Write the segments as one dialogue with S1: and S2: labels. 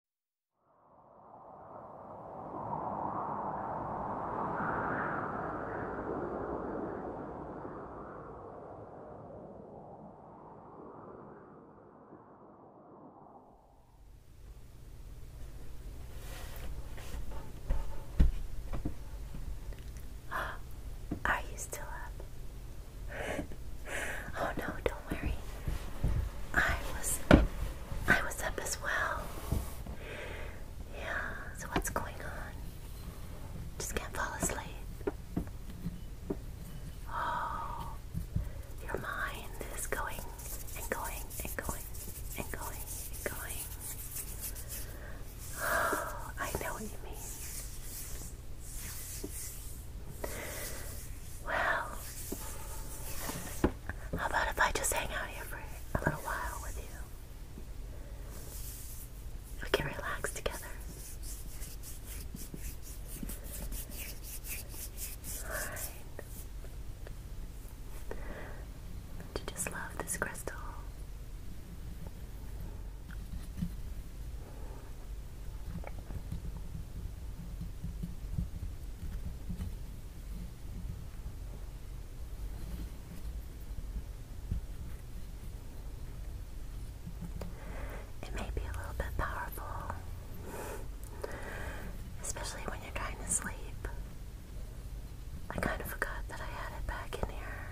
S1: Are you still up? oh no, don't worry. I was I was up as well. Yeah, so what's going on? Just can't fall asleep. Oh, your mind is going and going and going and going and going. Oh, I know what you mean. Well, how about if I just hang out here for a little while with you? We can relax together. Alright. just love this crystal? It may be a little bit powerful, especially when you're trying to sleep. I kind of forgot that I had it back in here.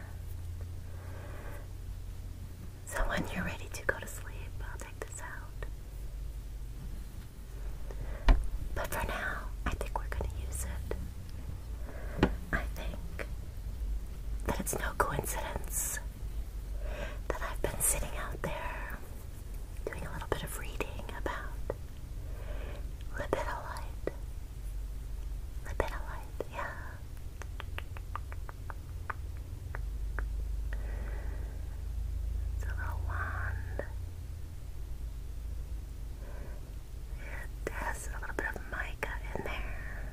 S1: So when you're ready to go to sleep, I'll take this out. But for now, I think we're going to use it. I think that it's no coincidence that I've been sitting out there doing a little bit of reading about lipidolite. Lipidolite, yeah. It's a little wand. It has a little bit of mica in there.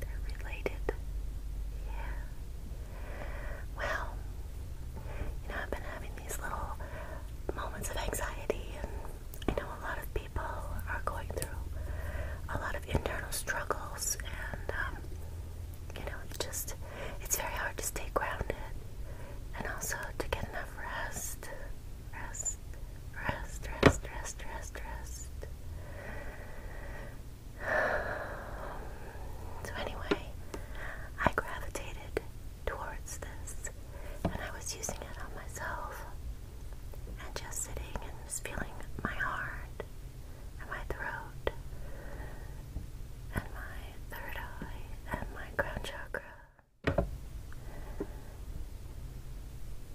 S1: They're related. Yeah. Well, you know, I've been having these little moments of anxiety, and I know a lot of people are going through a lot of internal struggles, and um, you know, it's just, it's very hard to stay grounded and also to get enough rest. Rest, rest, rest, rest, rest, rest. So, anyway, I gravitated towards this and I was using it on myself and just sitting and feeling my heart and my throat and my third eye and my crown chakra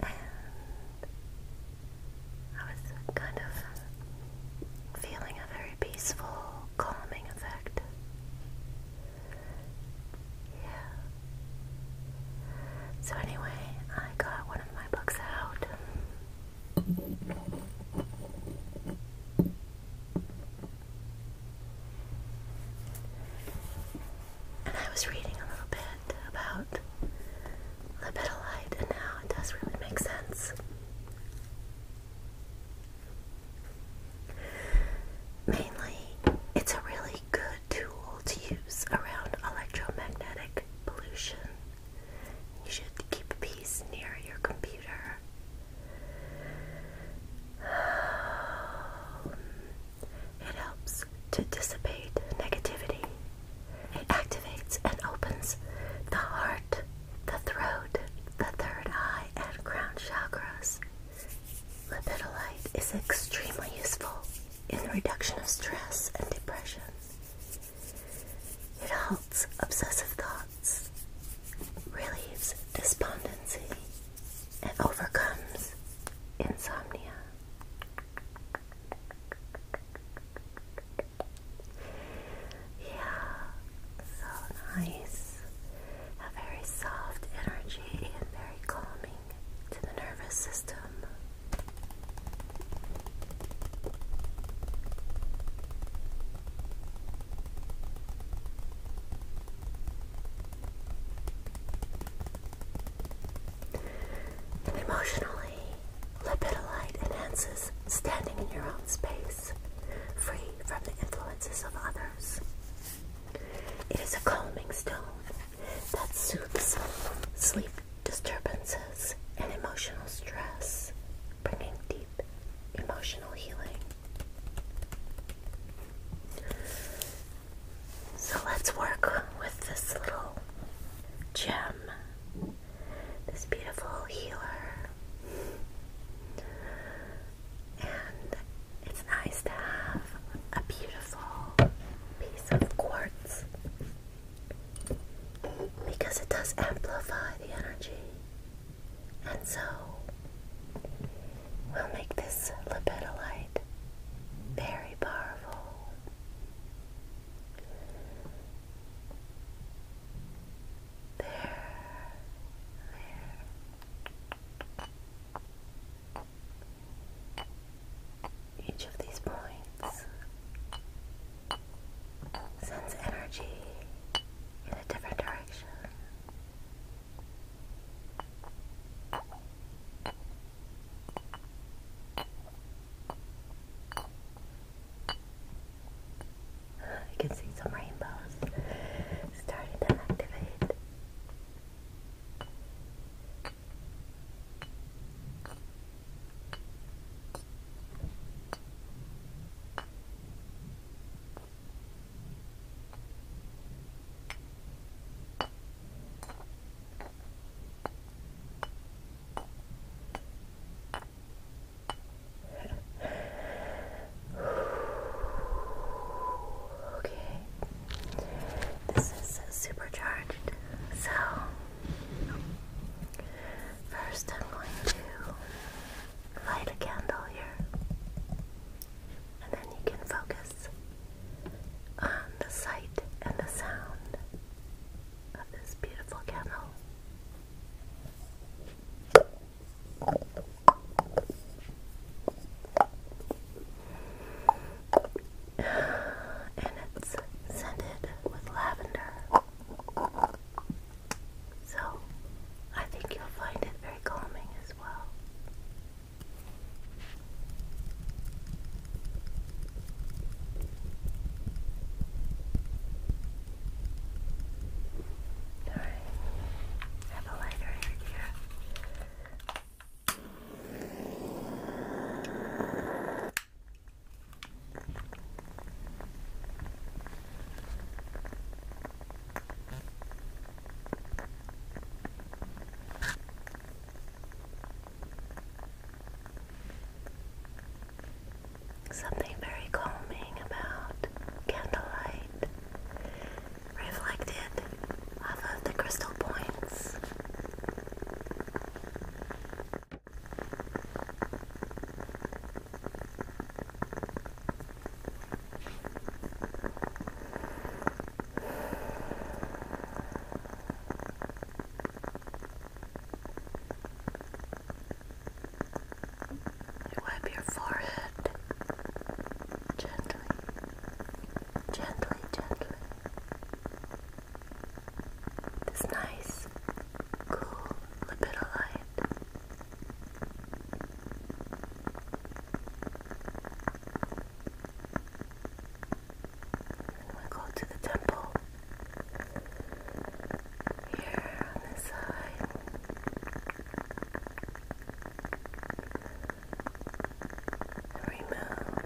S1: and I was kind of feeling a very peaceful, calming effect. Yeah. So, anyway, I got one of my books out and I was reading a little bit about libidolite and how it does really make sense. Mainly, it's a really good tool to use around electromagnetic pollution. You should keep peace near your computer. It helps to dissipate negativity. It activates and opens the heart, the throat, the third eye, and crown chakras. Lipidolite is extremely useful in the reduction of stress and depression. It halts obsessive thoughts, relieves despondency, and overcomes insomnia. Yeah, so nice. A very soft energy and very calming to the nervous system. Emotionally, lipidolite enhances standing in your own space, free from the influences of others. It is a calming stone that soothes sleep disturbances and emotional stress bringing deep emotional healing. So let's work with this little gem, this beautiful healer. And it's nice to have a beautiful piece of quartz because it does amplify the energy. And so we'll make this libidolite very powerful. There, there. Each of these points Sends energy in a different direction. You can see some rainbows starting to activate. Okay, this is supercharged, so First, I'm going to light a candle here, and then you can focus on the sight and the sound of this beautiful candle. And it's scented with lavender. So, I think you'll find it very calming as well. Alright, have a lighter here. Something very calming about candlelight reflected off of the crystal points. You wipe your forehead gently, gently, gently. This nice, cool libido light. we go to the temple. Here on this side. remove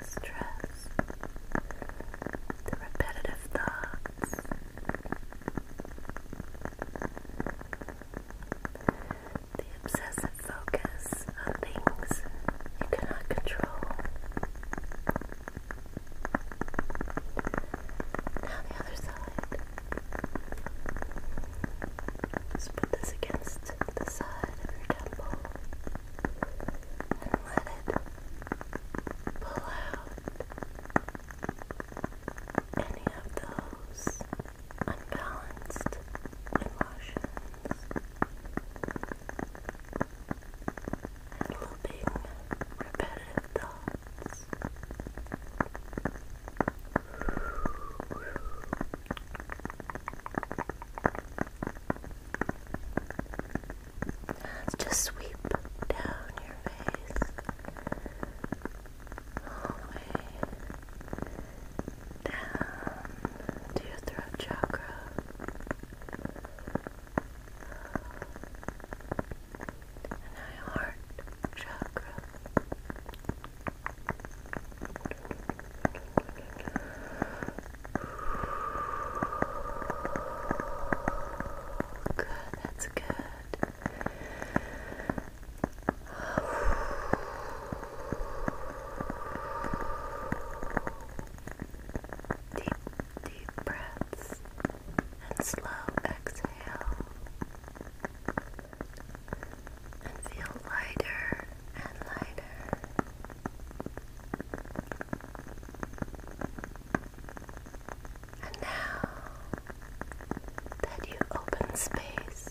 S1: stress, the repetitive thoughts. The obsessive focus on things you cannot control. Now, the other side. Just put this against the side of your temple and let it pull out any of those unbalanced emotions. And looping repetitive thoughts. Just sweep down your face all the way down to your throat chakra. And your heart chakra. Good, that's good. Deep, deep breaths and slow exhale. And feel lighter and lighter. And now that you open space,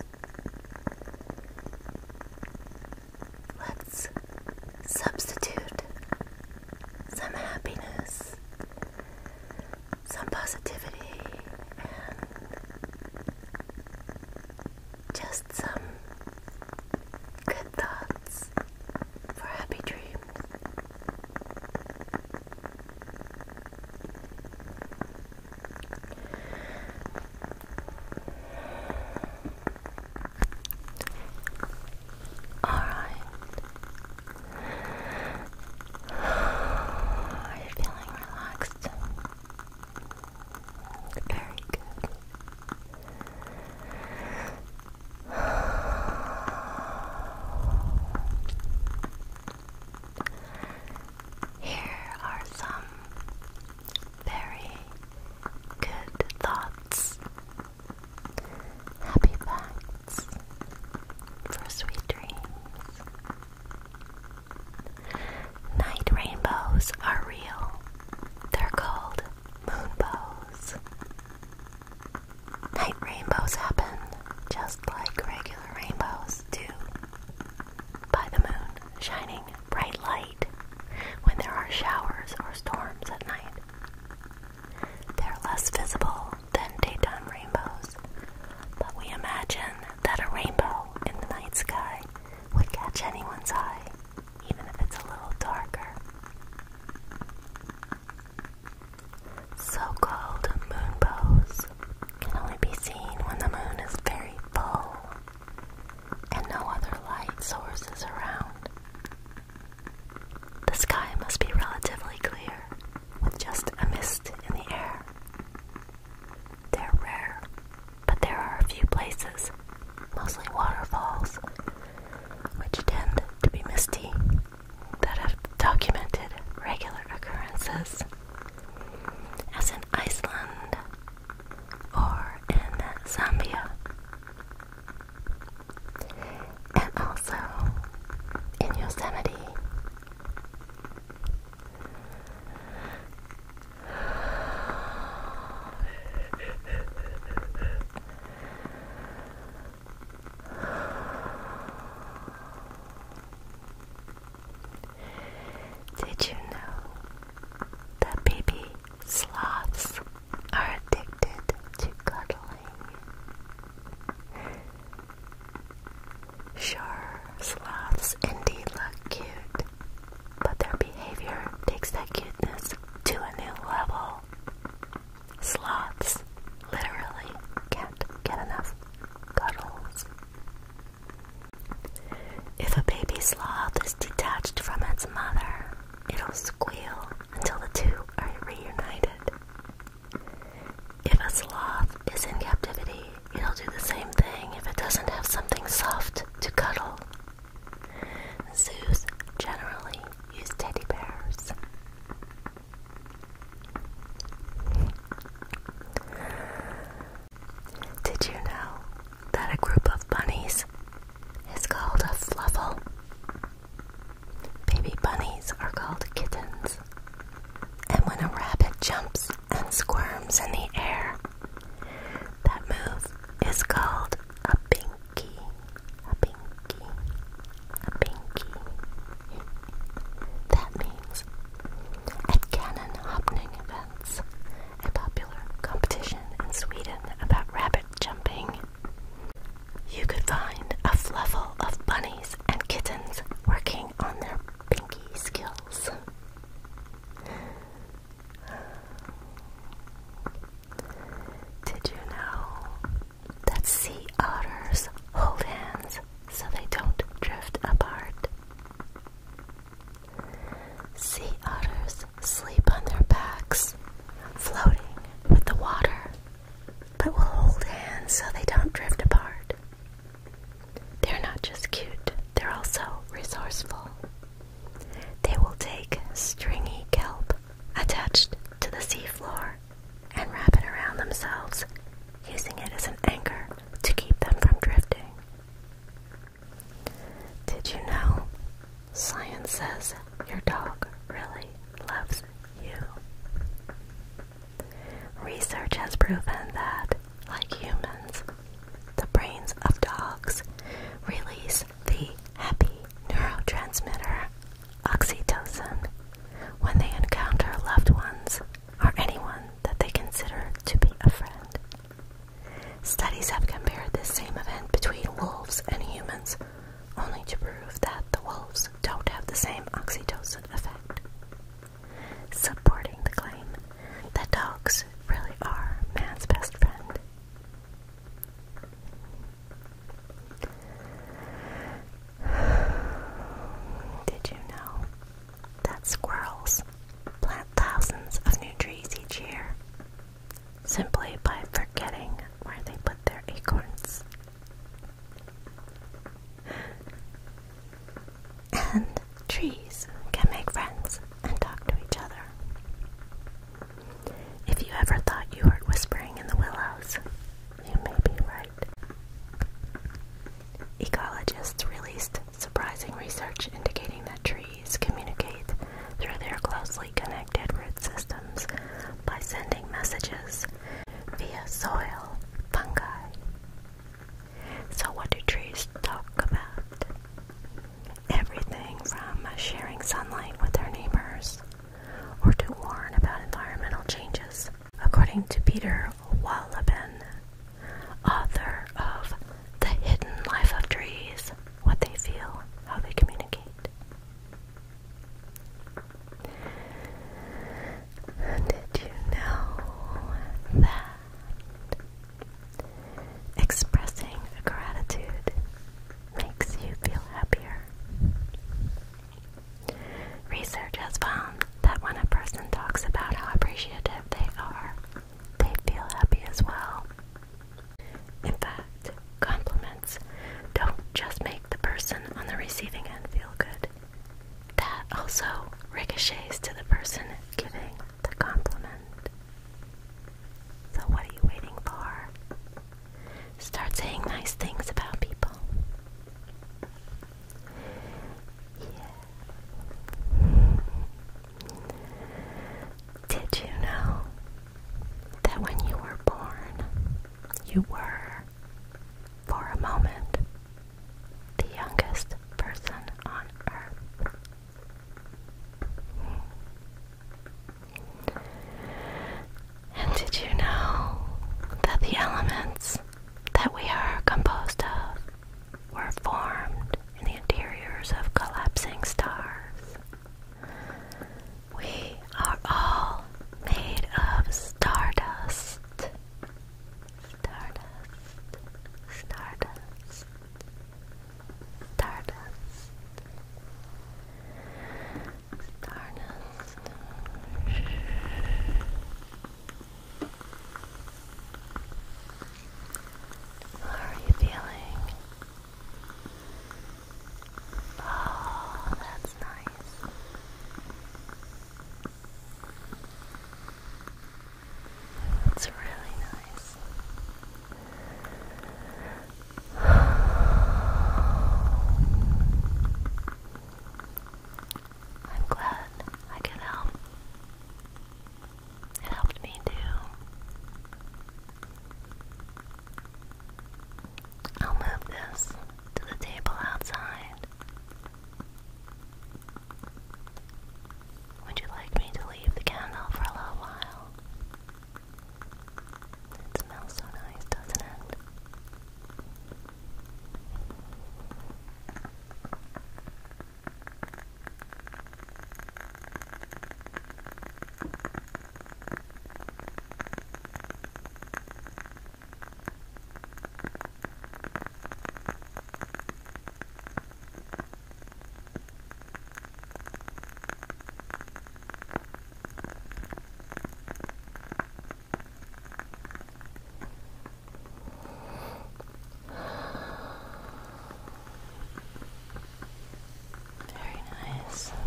S1: let's substitute some happiness, some positivity, just some good thoughts for happy dreams. All right. Are you feeling relaxed? Very good. Here are some very good thoughts, happy facts for sweet dreams. Night rainbows are real. They're called moonbows. Night rainbows happen just like regular rainbows do. By the moon shining bright light when there are showers or storms at night. They're less visible than daytime rainbows, but we imagine that a rainbow in the night sky would catch anyone's eye even if it's a little darker. So called moon can only be seen when the moon is very full and no other light sources around. The sky must be relatively clear with just a mist in the air. They're rare but there are a few places, mostly waterfalls, which tend to be misty, that have documented regular occurrences, as in Iceland or in Zambia. And also in Yosemite. Did you know that baby sloths are addicted to cuddling? Sure, sloths indeed look cute, but their behavior takes that cuteness to a new level. Sloths literally can't get enough cuddles. If a baby sloth is detached from its mother, it'll squeal until the two are reunited. If a sloth is in captivity, it'll do the same thing if it doesn't have something soft to cuddle Zoos generally use teddy bears. Did you know that a group of bunnies is called a fluffle? Baby bunnies are called kittens. And when a rabbit jumps and squirms in the air, that move is called a pinky. A pinky. A pinky. That means at cannon hopping events, a popular competition in Sweden about rabbit jumping, you could find a fluffle of bunnies and kittens working on their pinky skills. Did you know that sea otters hold hands so they don't drift apart? Sea otters sleep on their backs, floating with the water, but will hold hands so they don't drift apart. They're not just cute, they're also resourceful. They will take stringy kelp attached to the seafloor and wrap it around themselves, using it as an anchor to keep them from drifting. Did you know? Science says your dog really loves you. Research has proven that, like humans, the brains of dogs release the happy neurotransmitter oxytocin when they encounter loved ones or anyone that they consider to be a friend. Studies have compared this same event between wolves and humans, only to prove that the wolves don't have the same oxytocin effect, supporting the claim that dogs really are man's best friend. Did you know that squirrels plant thousands of new trees each year simply by forgetting where they put their acorns? And Trees can make friends and talk to each other. If you ever thought you heard whispering in the willows, you may be right. Ecologists released surprising research indicating that trees communicate through their closely connected root systems by sending messages via soil fungi. So, what do trees talk about? Everything from sharing sunlight with their neighbors or to warn about environmental changes. According to Peter Wallabin, author of The Hidden Life of Trees, what they feel, how they communicate. Did you know that Expressing gratitude makes you feel happier. Research has found that when a person talks about how appreciative they are, they feel happy as well. In fact, compliments don't just make the person on the receiving end feel good, that also ricochets to the person giving the compliment. So, what are you waiting for? Start saying nice things about people. Did you know that when you were born, you were, for a moment, the youngest person on earth? And did you know that the elements that we are composed of were formed in the interiors of collapsing stars? We are all made of stardust. Stardust, stardust, Stardust. Stardust. How are you feeling? Oh, that's nice. It's really nice. I'm glad I could help. It helped me too. I'll move this to the table outside. Would you like me to leave the candle for a little while? It smells so nice, doesn't it? Very nice. Good.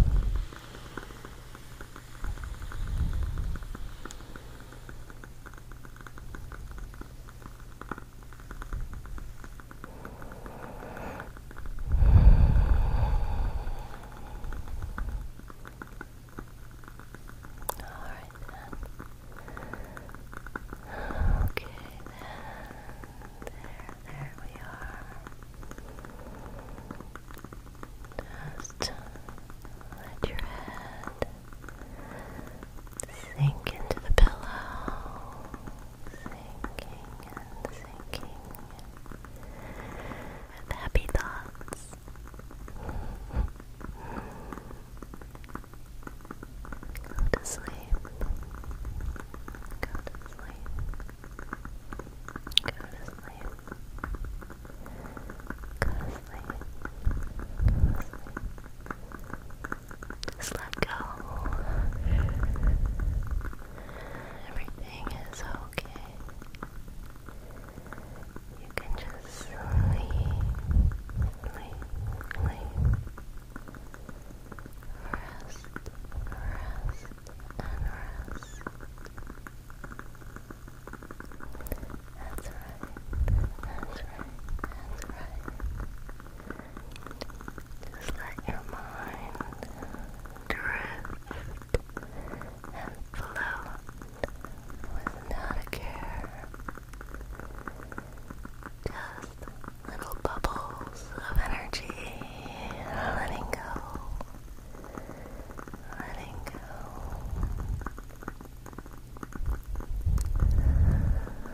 S1: Alright then. Okay There, there we are. Just uh, let your head sink into the pillow sinking and sinking with happy thoughts. Go to sleep. Go to sleep. Go to sleep. Go to sleep. Just let go. Everything is okay. You can just sleep, sleep, sleep. Rest, rest, and rest. That's right. That's right. That's right. Just let your mind drift and float not a care. Just little bubbles of energy letting go. Letting go.